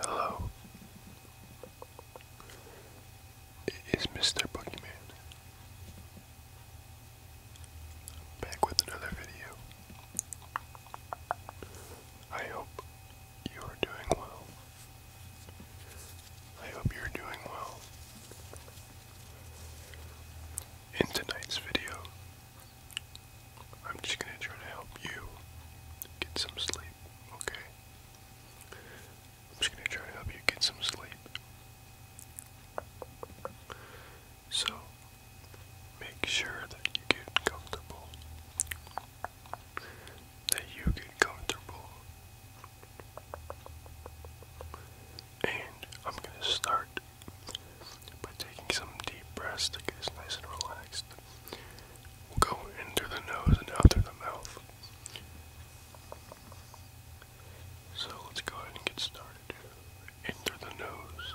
Hello. It is Mr. Boogeyman back with another video. I hope you are doing well. I hope you're doing well. In tonight's video, I'm just going to try to help you get some sleep, okay? I'm just going to try to help you get some sleep. So, make sure that you get comfortable that you get comfortable. And I'm gonna start by taking some deep breaths to get us nice and relaxed. We'll go in through the nose and out through the mouth. So let's go ahead and get started. In through the nose.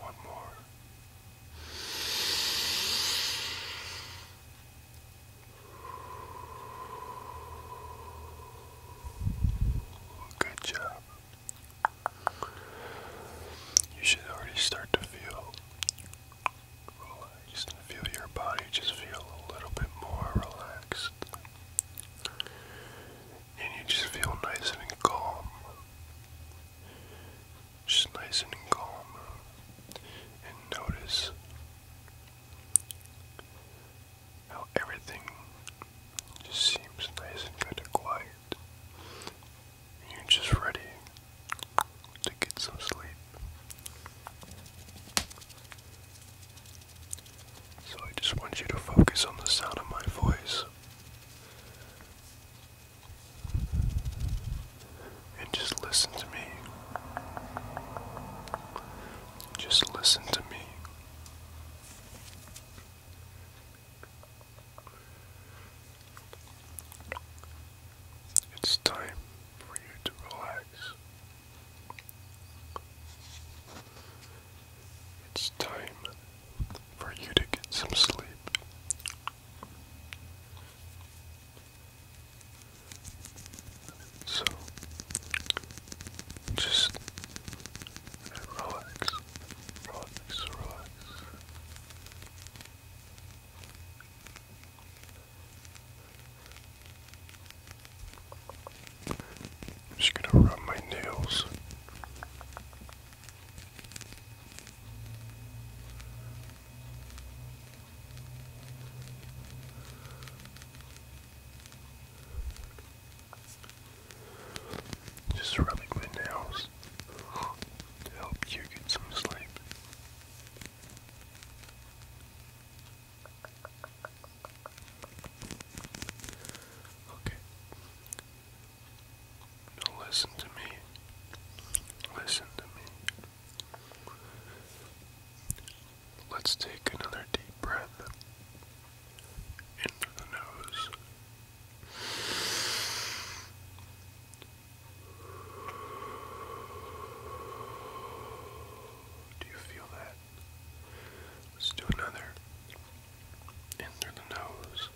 One more. Good job. You should already start to feel just feel your body just feel a little bit more relaxed. And you just feel nice and calm. Just nice and calm. And notice how everything just seems nice and kind of quiet. you're just ready to get some sleep. So I just want you to focus on the sound of my voice and just listen to me. Just listen to me. It's time for you to relax. It's time for you to get some sleep. So, just relax, relax, relax. I'm just gonna rub my nails. Just rubbing my nails to help you get some sleep. Okay. listen to me. Listen to me. Let's take another deep breath in the nose do you feel that? Let's do another. In the nose.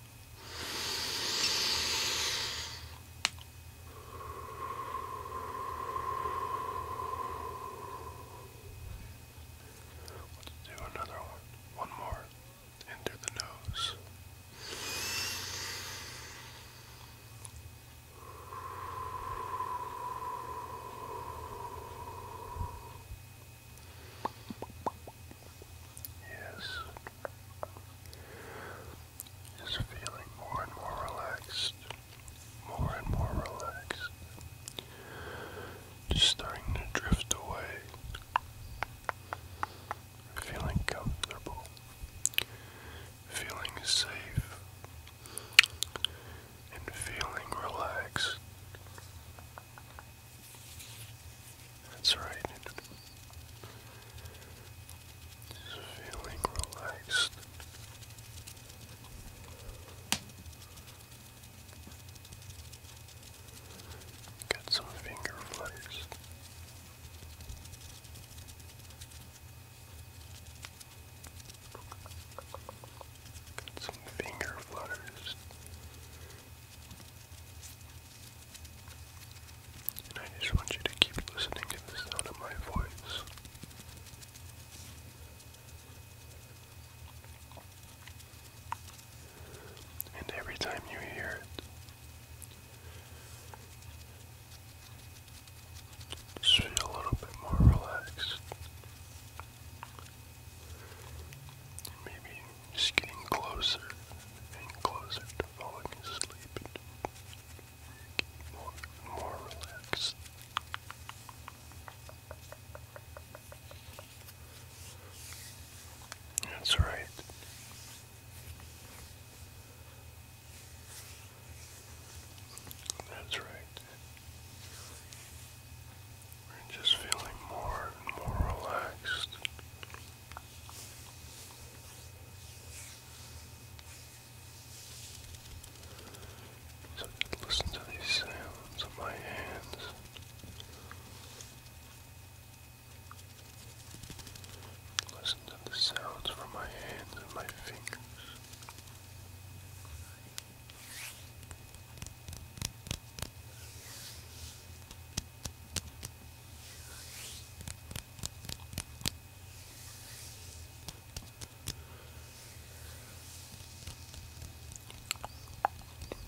Let's do another one. One more. In the nose. Yes. Just feeling more and more relaxed. More and more relaxed. Just starting to drift away. Feeling comfortable feeling safe and feeling relaxed. That's right. Just feeling relaxed. Got some finger flares. Got some finger flutters. And I just want you to keep listening to the sound of my voice. And every time you hear it, just feel a little bit more relaxed. Maybe just getting closer and closer to falling asleep. more and more relaxed. That's right. That's right. We're just feeling more and more relaxed. So listen to these sounds of my hands. Listen to the sounds from my hands and my fingers.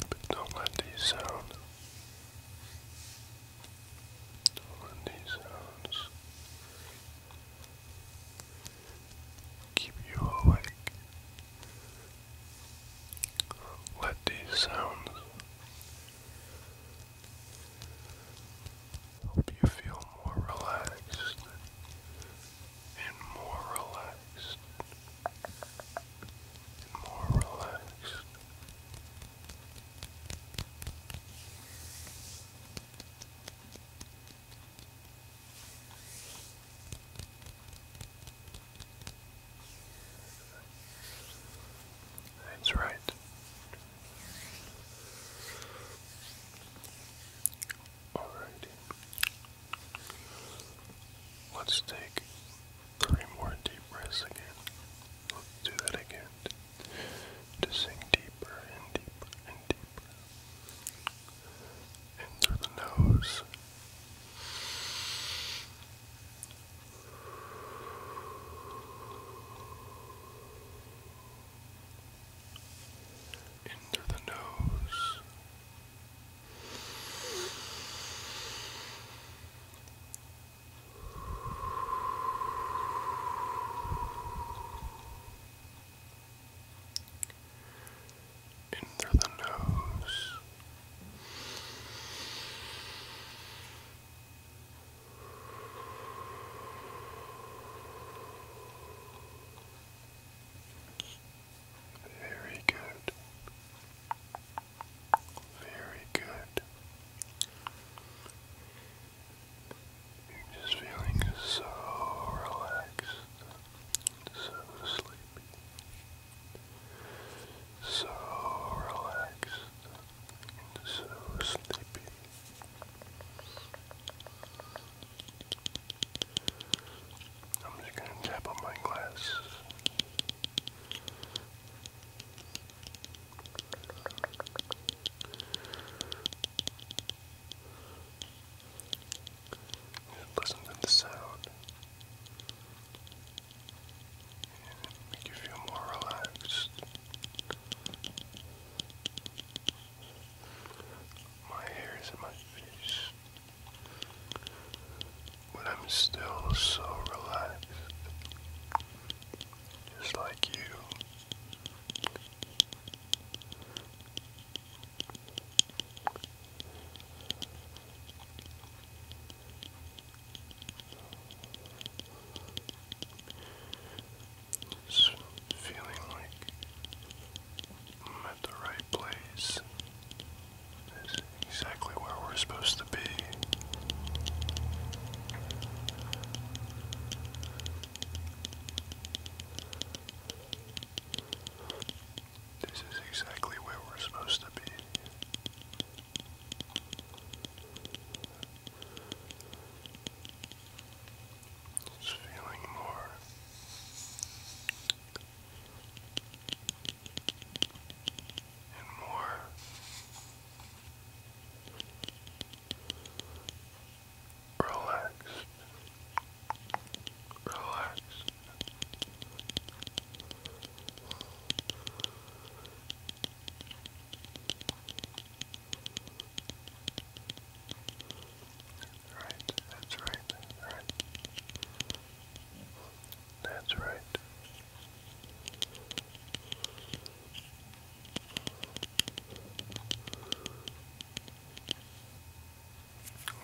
But don't let these sound on these sounds keep you awake. Let these sounds help you feel more relaxed and more relaxed and more relaxed. That's right. All right. Let's take three more deep breaths again. Let's do that again to sink deeper and deeper and deeper. In the nose. In through the nose in through the nose. Very good. Very good. I'm just feeling so relaxed, so sleepy, so relaxed, so sleepy. I'm just gonna tap on my glass listen to the sound. And make you feel more relaxed. My hair is in my face. But I'm still so relaxed just like you. feeling like I'm at the right place. exactly where we're supposed this is exactly where we're supposed to be. It's feeling more and more relaxed, relaxed. right, that's right. That's right.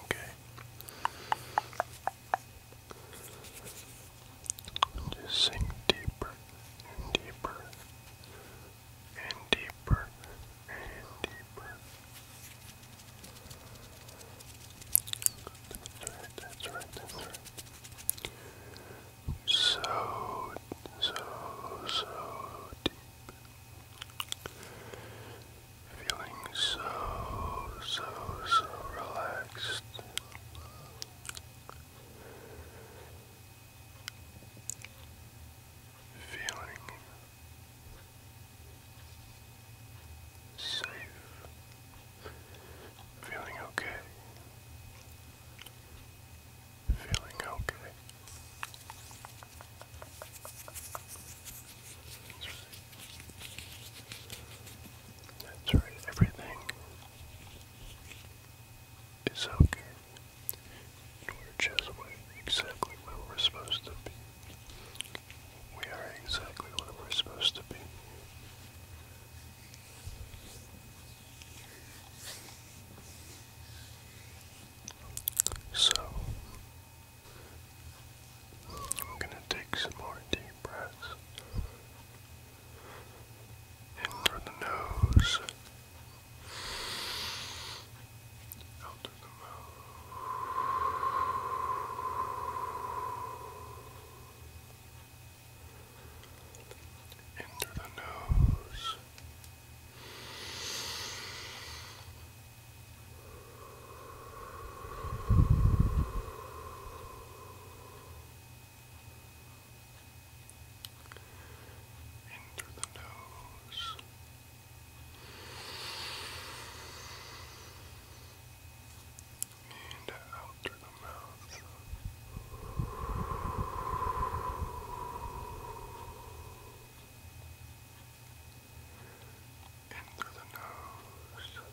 Okay. Just sink deeper and deeper and deeper and deeper. That's right, that's right, that's right so, so, so deep. Feeling so, so, so relaxed. Feeling safe. Feeling okay. Feeling okay. That's right, everything is okay. We're just exactly where we're supposed to be. We are exactly where we're supposed to be. So, I'm going to take some more deep breaths in through the nose, out of the mouth in through the nose. In through the nose and out through the mouth. In through the nose. Into the nose,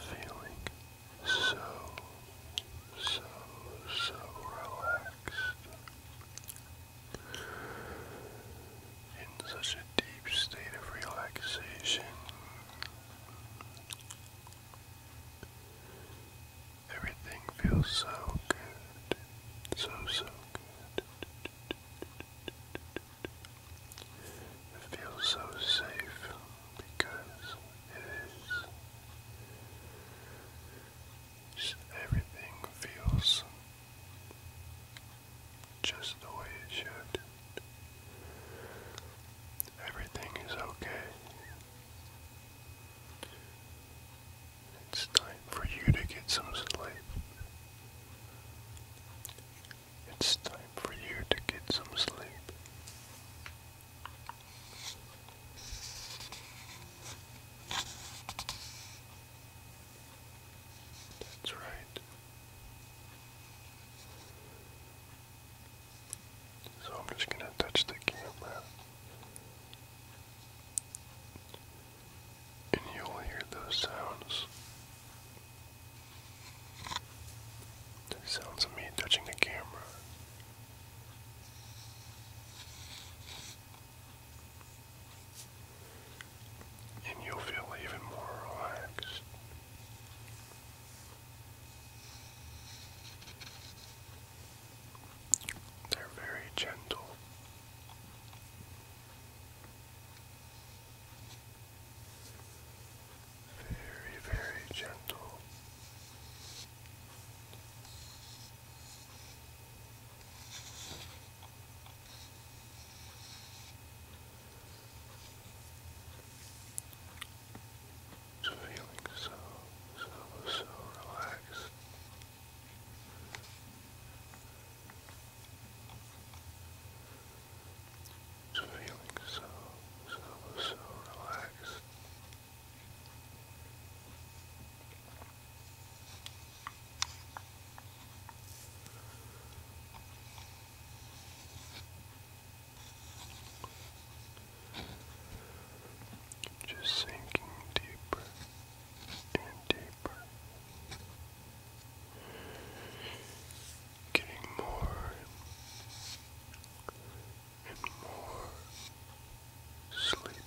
Feeling so, so, so relaxed. In such a deep state of relaxation, Everything feels so good. So, so good. It feels so safe because it is. everything feels just the way it should. Everything is okay. It's time for you to get some sleep. It's time for you to get some sleep. That's right. So I'm just going to touch the camera. And you'll hear those sounds. The sounds of me touching the camera. And you'll feel even more relaxed. They're very gentle. Very, very gentle feeling so, so, so relaxed. feeling so, so, so relaxed. Just sinking deeper and deeper, getting more and more sleepy.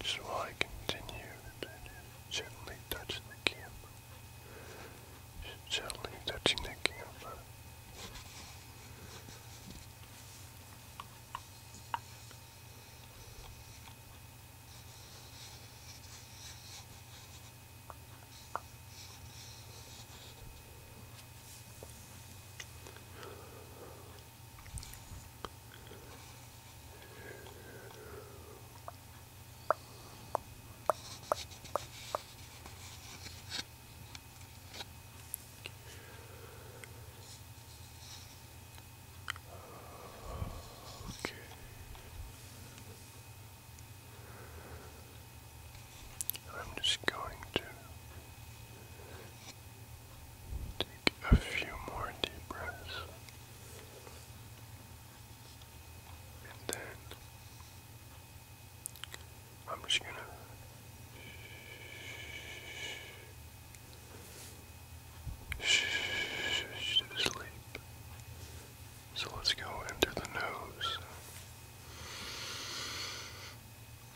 Just while I continue gently touch the camera. gently touching the camera. Okay. I'm just going to Take a few more deep breaths. And then I'm just going to sleep. So let's go into the nose.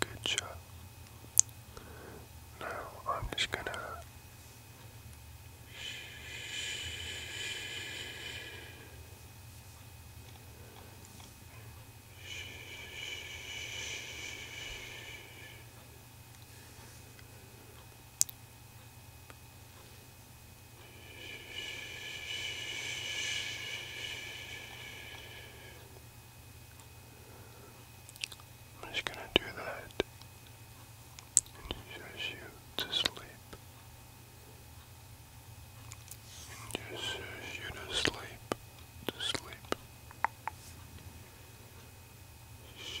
Good job. Now I'm just gonna. I'm just gonna do that and just you to sleep. And just you uh, to sleep, to sleep. Shh.